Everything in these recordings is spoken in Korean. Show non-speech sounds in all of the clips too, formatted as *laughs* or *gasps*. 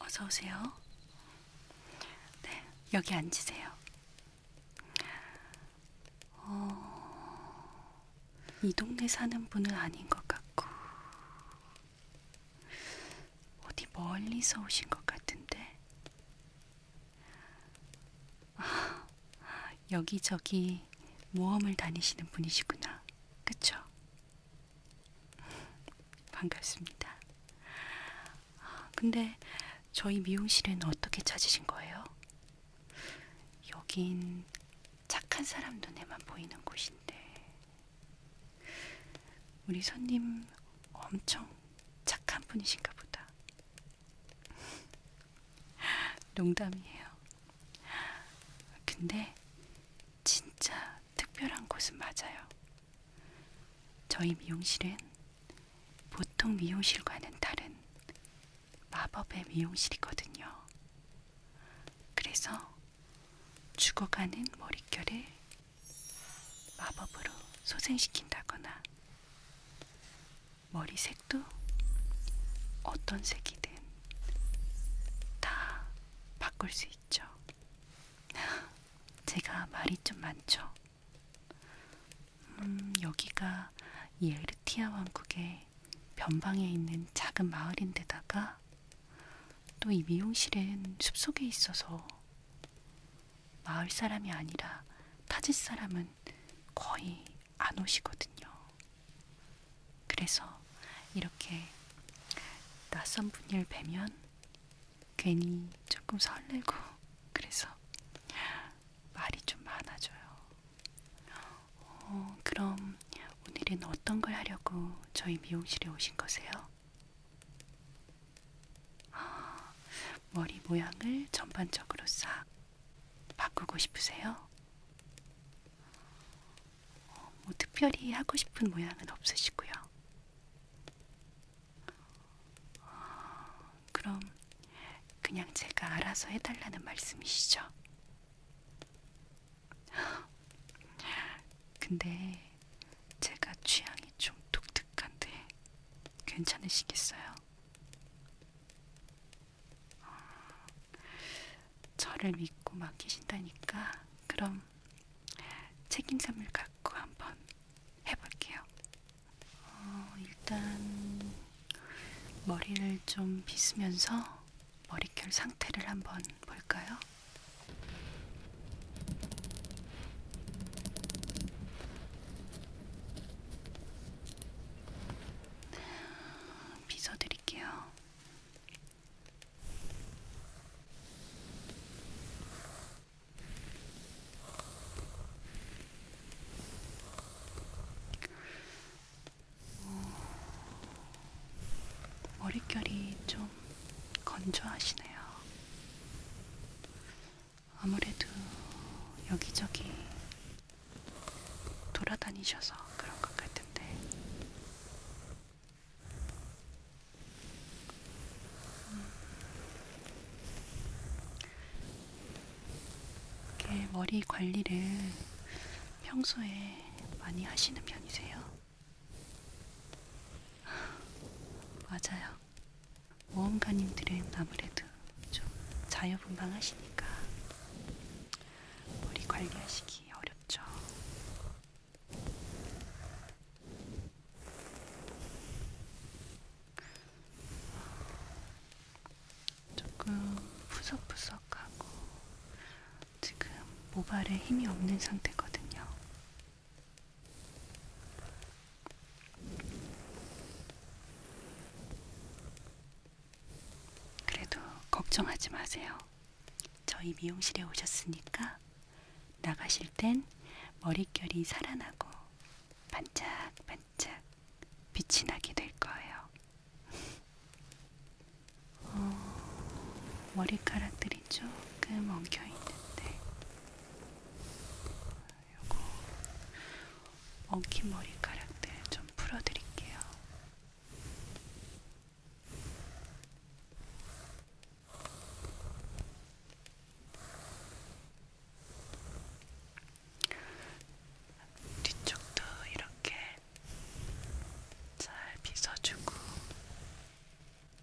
어서 오세요. 네, 여기 앉으세요. 어, 이 동네 사는 분은 아닌 것 같고, 어디 멀리서 오신 것 같은데, 여기저기 모험을 다니시는 분이시구나. 그쵸? 반갑습니다. 근데 저희 미용실은 어떻게 찾으신 거예요? 여긴 착한 사람 눈에만 보이는 곳인데, 우리 손님 엄청 착한 분이신가 보다. 농담이에요. 근데 진짜 특별한 곳은 맞아요. 저희 미용실은 보통 미용실과는 다른 마법의 미용실이거든요. 그래서 죽어가는 머릿결을 마법으로 소생시킨다거나 머리색도 어떤 색이든 다 바꿀 수 있죠. *laughs* 제가 말이 좀 많죠. 음, 여기가 예르티아 왕국의 변방에 있는 작은 마을인데다가 또 이 미용실은 숲속에 있어서 마을 사람이 아니라 타지 사람은 거의 안 오시거든요. 그래서 이렇게 낯선 분을 뵈면 괜히 조금 설레고 그래서 말이 좀 많아져요. 어, 그럼 오늘은 어떤 걸 하려고 저희 미용실에 오신 거세요? 아, *gasps* 머리 모양을 전반적으로 싹 바꾸고 싶으세요? 어, 뭐 특별히 하고 싶은 모양은 없으시고요. 어, 그럼 그냥 제가 알아서 해달라는 말씀이시죠? *gasps* 근데 제가 취향이 좀 독특한데 괜찮으시겠어요? 어, 저를 믿고 맡기신다니까 그럼 책임감을 갖고 한번 해볼게요. 어, 일단 머리를 좀 빗으면서 머릿결 상태를 한번 볼까요? 빗어드릴게요. 오, 어, 머릿결이 좀 건조하시네요. 아무래도 여기저기 돌아다니셔서 그런 것 같은데 음. 이렇게 머리 관리를 평소에 많이 하시는 편이세요? *laughs* 맞아요. 모험가님들은 아무래도 좀 자유분방하시니까 머리 관리하시기 어렵죠. 조금 푸석푸석하고 지금 모발에 힘이 없는 상태거든요. 그래도 걱정하지 마세요. 저희 미용실에 오셨으니까 나가실 땐 머릿결이 살아나고 반짝반짝 빛이 나게 될 거예요. 어, 머리카락들이 조금 엉켜 있는데 요거 엉킨 머리카락들 좀 풀어드릴게요. 뒤쪽도 이렇게 잘 빗어주고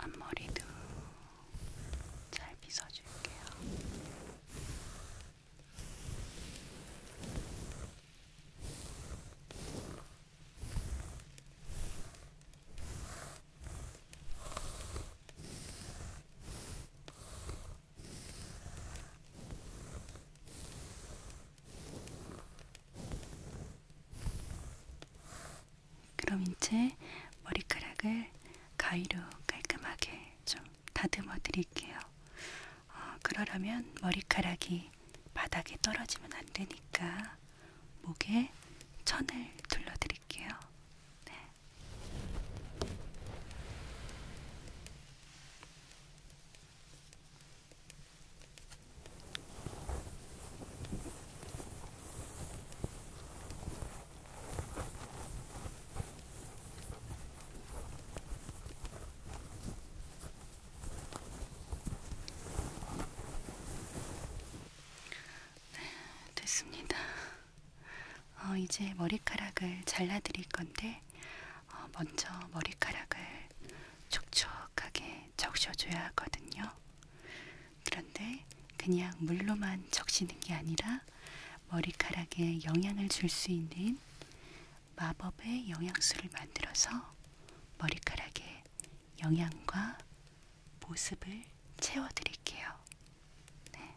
앞머리도 잘 빗어줄게요. 그럼 이제 머리카락을 가위로 깔끔하게 좀 다듬어 드릴게요. 어, 그러려면 머리카락이 바닥에 떨어지면 안 되니까 목에 천을 둘러 드릴게요. 네. 네, 됐습니다. 어, 이제 머리카락을 잘라드릴 건데 어, 먼저 머리카락을 촉촉하게 적셔줘야 하거든요. 그런데 그냥 물로만 적시는 게 아니라 머리카락에 영향을 줄 수 있는 마법의 영양수를 만들어서 머리카락에 영양과 모습을 채워드릴게요. 드릴게요. 네.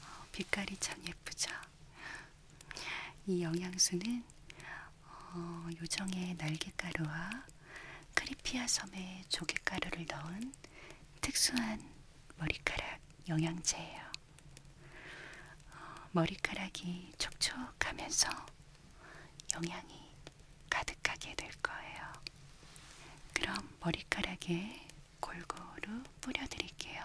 어, 빛깔이 참 예쁘죠. 이 영양소는 어, 요정의 날개가루와 크리피아 섬의 조개가루를 넣은 특수한 머리카락 영양제예요. 어, 머리카락이 촉촉하면서 영양이 가득하게 될 거예요. 그럼 머리카락에 골고루 뿌려드릴게요.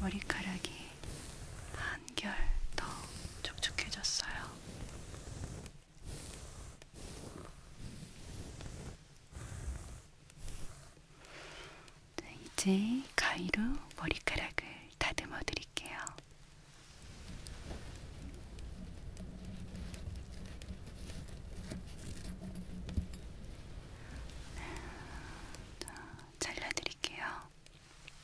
머리카락이 한결 더 촉촉해졌어요. 네, 이제 가위로 머리카락을 다듬어 드릴게요. 잘라 드릴게요.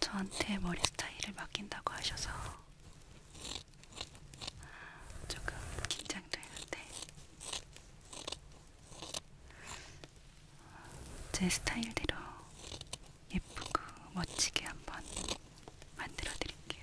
저한테 머리 스타일을 맡긴다고 하셔서 조금 긴장되는데 제 스타일대로 예쁘고 멋지게 한번 만들어 드릴게요.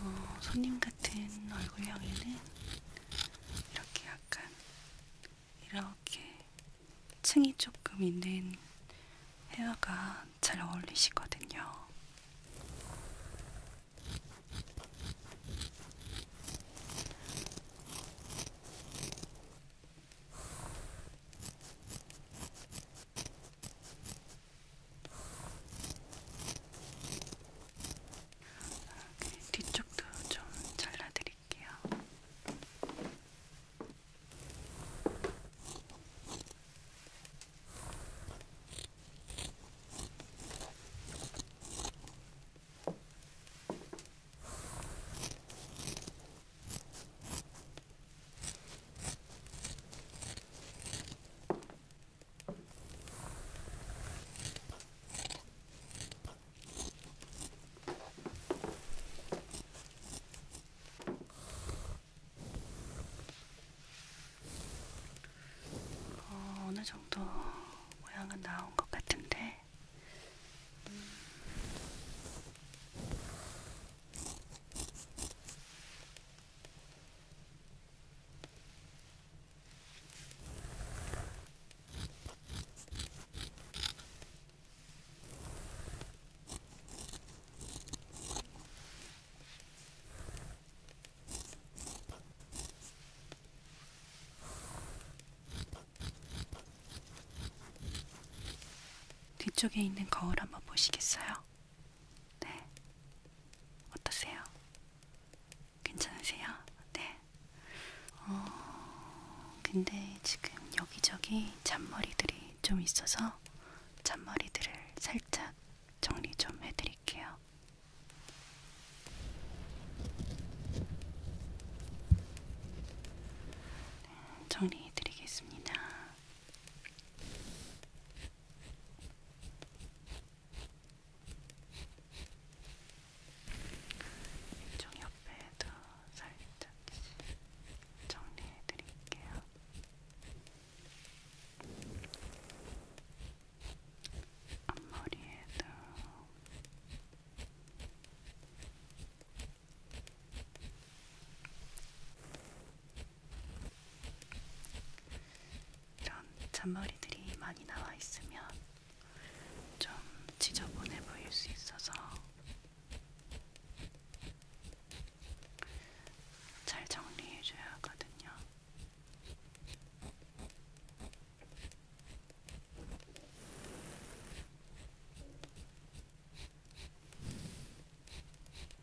어, 손님 같은 얼굴형에는 이렇게 약간 이렇게 층이 조금 있는 헤어가 잘 어울리시거든요. 네, 뒤쪽도 좀 잘라드릴게요. 네, 어, 어느 정도 모양은 나온 것 같은데. 음. 뒤쪽에 있는 거울 한번 보시겠어요? 네. 어떠세요? 괜찮으세요? 네. 어, 근데 지금 여기저기 잔머리들이 좀 있어서 잔머리들을 살짝 정리 좀 해드릴게요. 네, 정리해드리겠습니다. 이쪽 옆에도 살짝씩 정리해 드릴게요. 앞머리에도 이런 잔머리들이 많이 나와 있으면 좀 지저분해 보일 수 있어서 잘 정리해줘야 하거든요.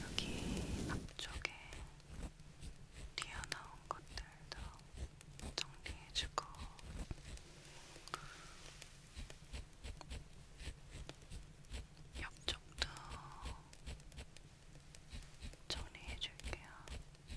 여기 앞쪽에 튀어나온 것들도 정리해주고 옆쪽도 정리해줄게요. 이렇게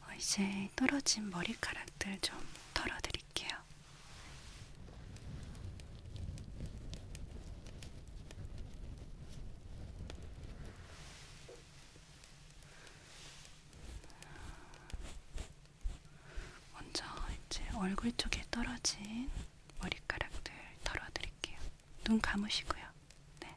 어, 이제 떨어진 머리카락들 좀 털어드릴게요. 먼저 이제 얼굴 쪽에 떨어진 머리카락들 털어드릴게요. 눈 감으시고요. 네.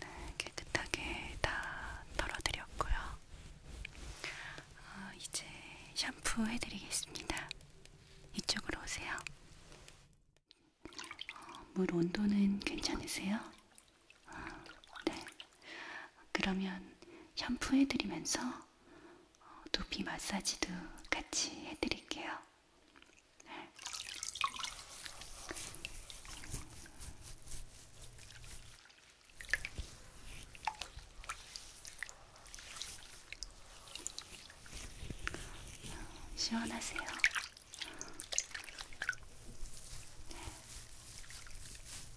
네, 깨끗하게 다 털어드렸고요. 어, 이제 샴푸 해드리겠습니다. 이쪽으로 오세요. 어, 물 온도는 괜찮으세요? 어, 네. 그러면 샴푸 해드리면서 어, 두피 마사지도 같이 해드릴게요. 네. 시원하세요. 네.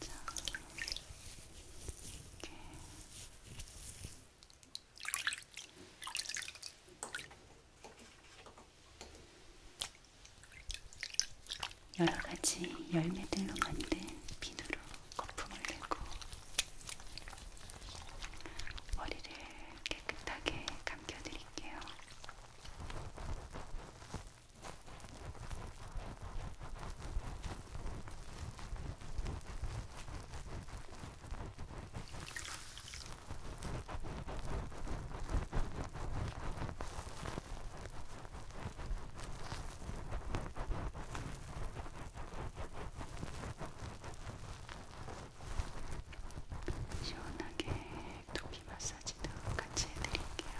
자, 이렇게. 이렇게 여러가지 열매들로 만든 비누로 거품을 내고 머리를 깨끗하게 감겨드릴게요. 시원하게 두피 마사지도 같이 해드릴게요.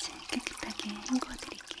제 깨끗하게 헹궈 드릴게요.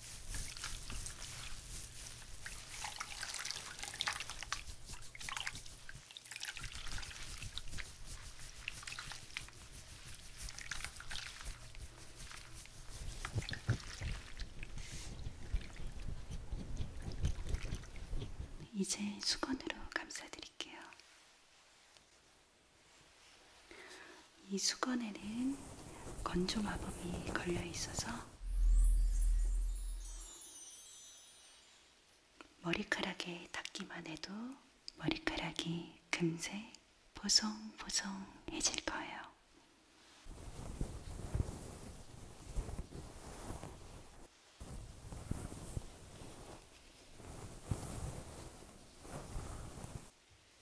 이제 수건으로 감싸드릴게요. 이 수건에는 건조 마법이 걸려 있어서 머리카락에 닿기만 해도 머리카락이 금세 보송보송해질 거예요.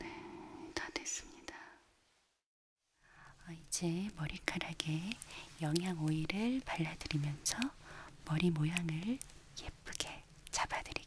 네, 다 됐습니다. 어, 이제 머리카락에 영양 오일을 발라드리면서 머리 모양을 예쁘게 잡아드릴게요.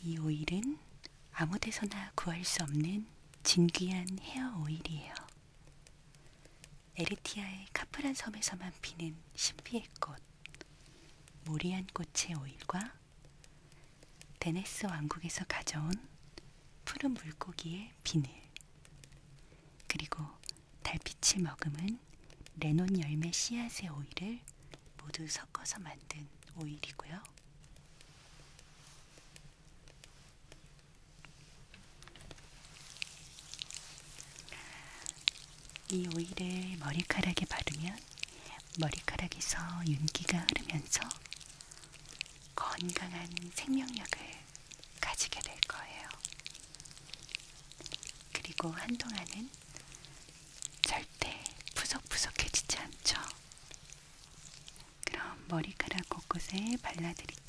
이 오일은 아무 데서나 구할 수 없는 진귀한 헤어 오일이에요. 에르티아의 카프란 섬에서만 피는 신비의 꽃. 모리안 꽃의 오일과 데네스 왕국에서 가져온 푸른 물고기의 비늘, 그리고 달빛을 머금은 레논 열매 씨앗의 오일을 모두 섞어서 만든 오일이고요. 이 오일을 머리카락에 바르면 머리카락에서 윤기가 흐르면서 건강한 생명력을 가지게 될 거예요. 그리고 한동안은 절대 푸석푸석해지지 않죠. 그럼 머리카락 곳곳에 발라드릴게요.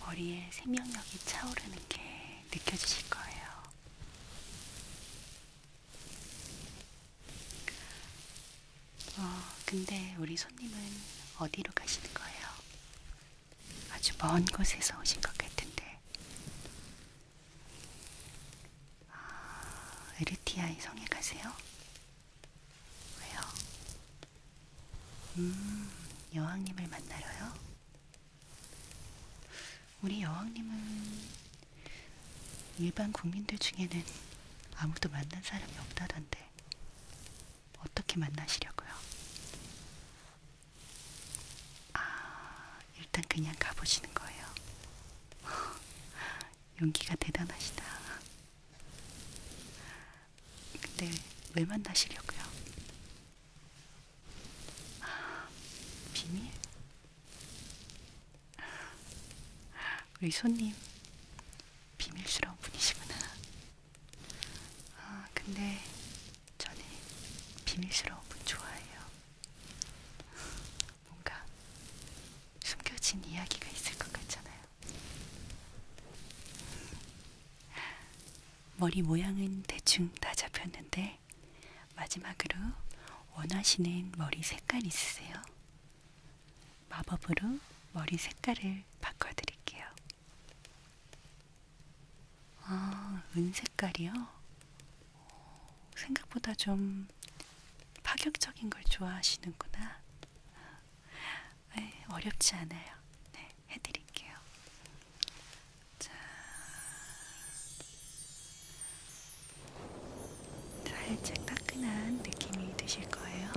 머리에 생명력이 차오르는 게 느껴지실 거예요. 어, 근데 우리 손님은 어디로 가시는 거예요? 아주 먼 곳에서 오신 것 같은데 아, 에르티아의 성에 가세요? 왜요? 음, 여왕님을 만나러요? 우리 여왕님은 일반 국민들 중에는 아무도 만난 사람이 없다던데 어떻게 만나시려고요? 아, 일단 그냥 가보시는 거예요. *laughs* 용기가 대단하시다. 근데 왜 만나시려고요? 아, 비밀? 우리 손님 비밀스러운 분이시구나. 아, 근데 저는 비밀스러운 분 좋아해요. 뭔가 숨겨진 이야기가 있을 것 같잖아요. 머리 모양은 대충 다 잡혔는데 마지막으로 원하시는 머리 색깔 있으세요? 마법으로 머리 색깔을 바꿔드릴게요. 아, 은색깔이요? 생각보다 좀 파격적인 걸 좋아하시는구나. 네, 어렵지 않아요. 네, 해드릴게요. 자, 살짝 따끈한 느낌이 드실 거예요.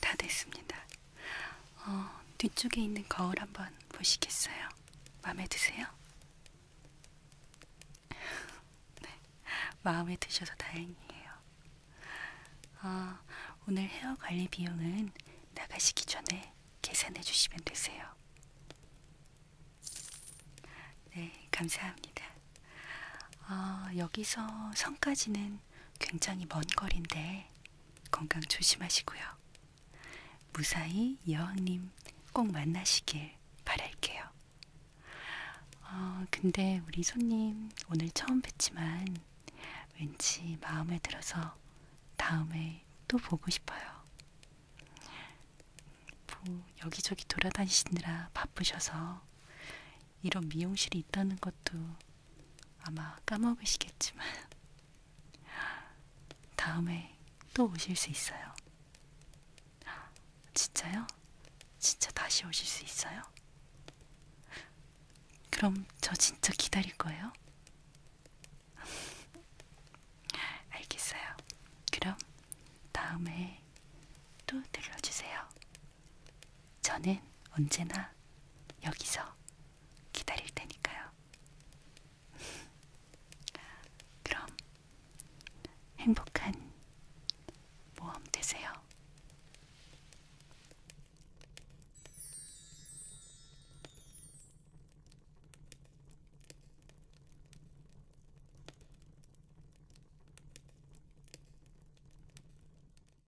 다 됐습니다. 어, 뒤쪽에 있는 거울 한번 보시겠어요? 마음에 드세요? 네, 마음에 드셔서 다행이에요. 어, 오늘 헤어 관리 비용은 나가시기 전에 계산해 주시면 되세요. 네, 감사합니다. 어, 여기서 성까지는 굉장히 먼 거리인데 건강 조심하시고요. 무사히 여왕님 꼭 만나시길 바랄게요. 어, 근데 우리 손님 오늘 처음 뵀지만 왠지 마음에 들어서 다음에 또 보고 싶어요. 뭐 여기저기 돌아다니시느라 바쁘셔서 이런 미용실이 있다는 것도 아마 까먹으시겠지만 *laughs* 다음에 또 오실 수 있어요. 진짜요? 진짜 다시 오실 수 있어요? 그럼 저 진짜 기다릴 거예요? *laughs* 알겠어요. 그럼 다음에 또 들러주세요. 저는 언제나 여기서 기다릴 테니까요. *laughs* 그럼 행복한 모험 되세요.